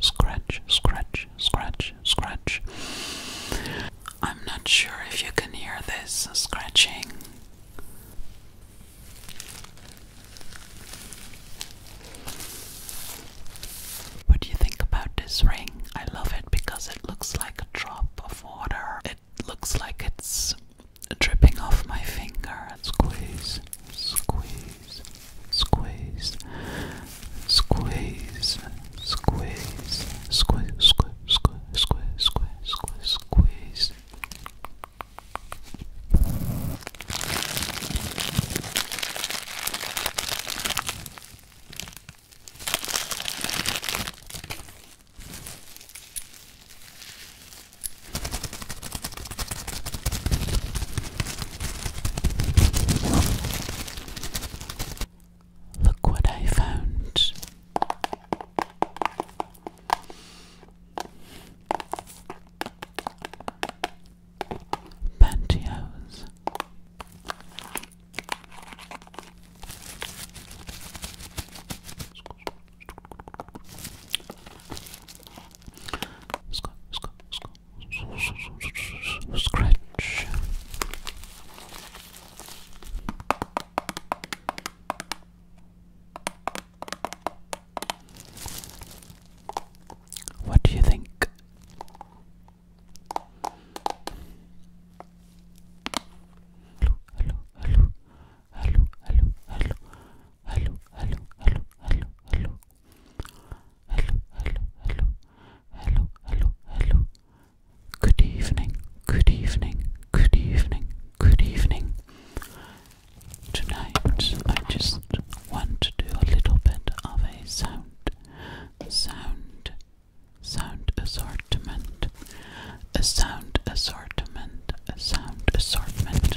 Scratch, scratch, scratch, scratch. I'm not sure if you can hear this scratching. What do you think about this ring? I love it because it looks like a drop of water. It looks like it's dripping off my finger. Squeeze, squeeze, squeeze, squeeze, squeeze, squeeze, squeeze, squeeze, squeeze, squeeze, squeeze. Look what I found pantyhose. Scratch. What do you think? hello, hello, hello, hello, hello, hello, hello, hello, hello, hello. Hello, hello, hello, hello, Good evening, good evening, good evening, good evening. Tonight I just want to do a little bit of a sound sound sound assortment a sound assortment a sound assortment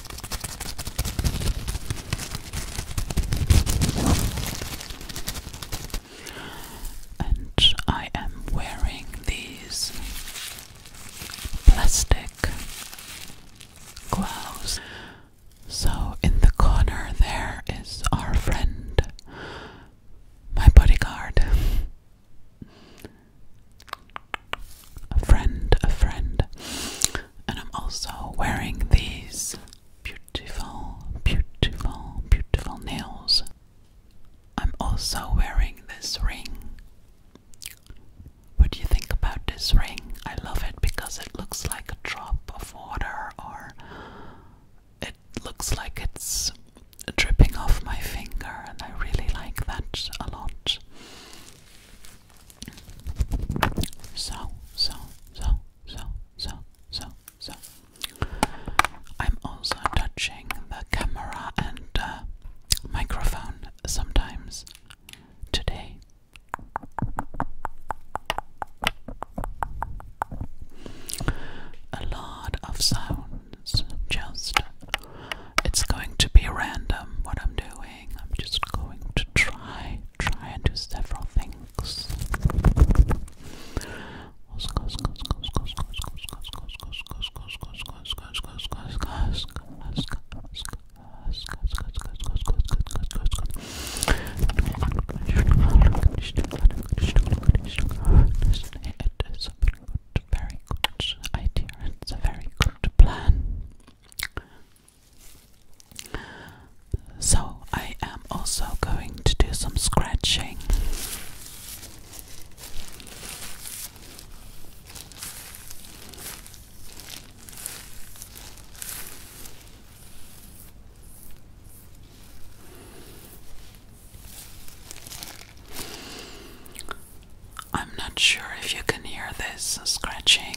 And I am wearing these plastic gloves. So, in the corner, there is our friend, my bodyguard a friend, a friend. And I'm also wearing these beautiful, beautiful, beautiful nails. I'm also wearing this ring. What do you think about this ring? I love it because it looks like a drop of water, or it looks like it's dripping off my finger, and I really like that a lot. So, so, so, so, so, so, so. I'm also touching the camera and uh, microphone sometimes today. A lot of sounds, just it's going to be random what I'm doing. I'm just going to try, try and do several things. It is a very good idea. It's a very good plan. So, I am also going to do some scratching. I'm not sure if you can hear this scratching.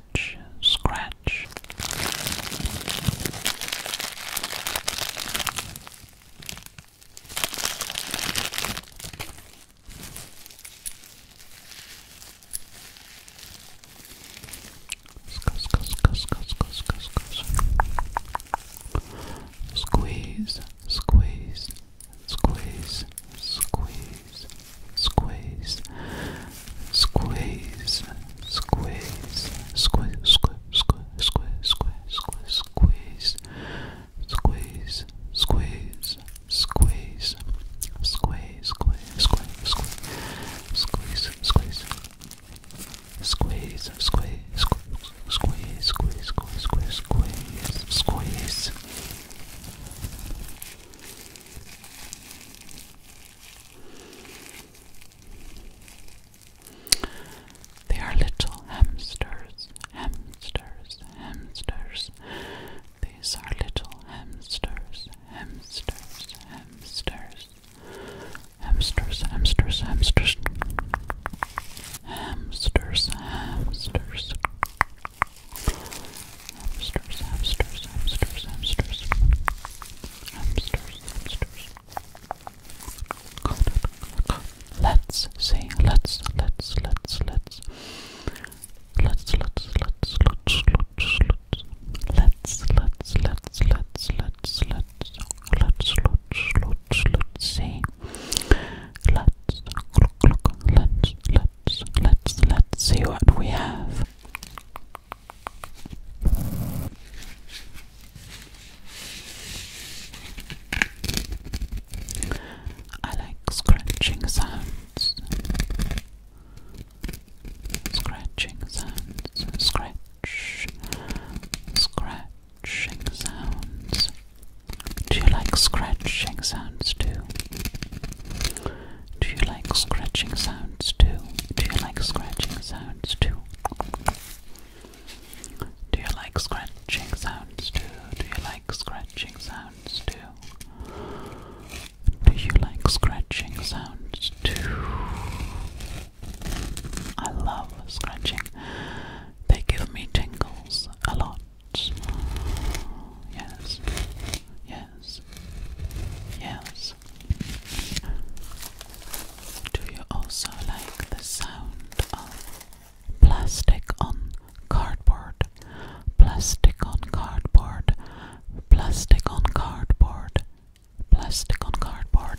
scratch, scratch. Squeeze, squeeze, squeeze, squeeze, squeeze, squeeze, squeeze, squeeze, squeeze, squeeze, squeeze, squeeze, squeeze, squeeze, squeeze, squeeze, squeeze, squeeze, squeeze, squeeze. Squeeze, squeeze, squeeze, squeeze, squeeze, squeeze, squeeze, squeeze. They are little hamsters, hamsters, hamsters. These are little hamsters, hamsters, hamsters. Hamsters, hamsters, hamsters. Hamsters, hamsters hamsters, hamsters, hamsters, hamsters, hamsters, hamsters. Let's see. Let's let's let's let's let's let's let's let's let's let's let's let's let's let's let's let's let's let's see. Let's let's let's let's let's see what we have. I like scratching sounds, scratching sounds, scratch, scratching sounds. Do you like scratching sounds too? Do you like scratching sounds too? Do you like scratching sounds too? Do you like scratching sounds too? Do you like scratching sounds too? Do you like scratching sounds too? I love scratching. They give me tingles a lot. Yes. Yes. Yes. Do you also like the sound of plastic on cardboard? Plastic on cardboard. Plastic on cardboard. Plastic on cardboard.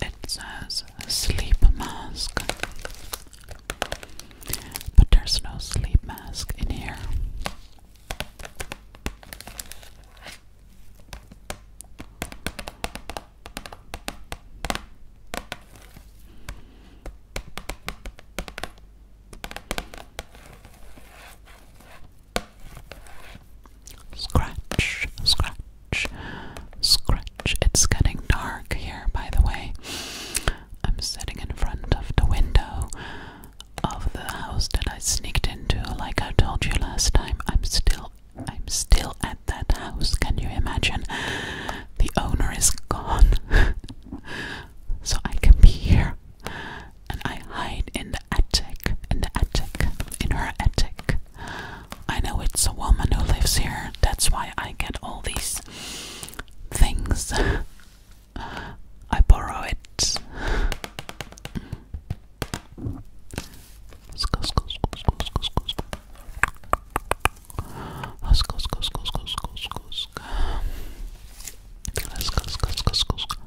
It says sleep mask, but there's no sleep mask in here. Scratch, scratch, scratch. It's getting dark here, by the way. I'm sitting in front of the window of the house that I sneaked into, like I told you last time. I'm still, I'm still at that house. Can you imagine? The owner is gone, so I can be here, and I hide in the attic, in the attic, in her attic. I know it's a woman who lives here, that's why I get all these things. I borrow it. Let's go,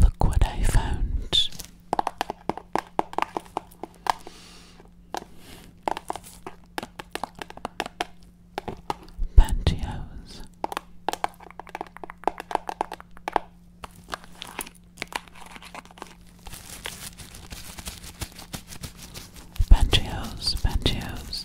Look what I found. Pantyhose. Pantyhose, pantyhose,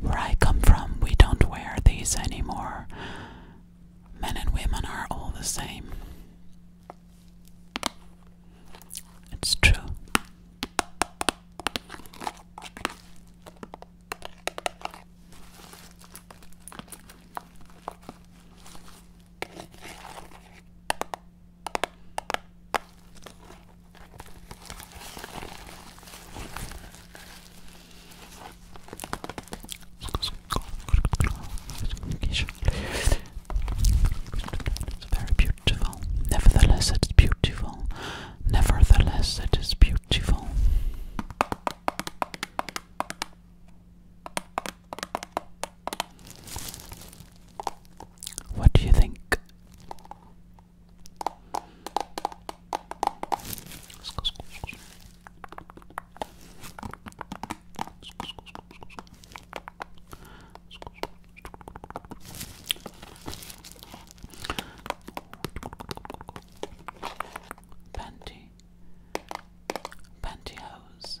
Where I come from, we don't wear these anymore. Men and women are all the same. It's true. It's very beautiful. Nevertheless, it's beautiful. Nevertheless, it is beautiful. What do you think? Panty, pantyhose,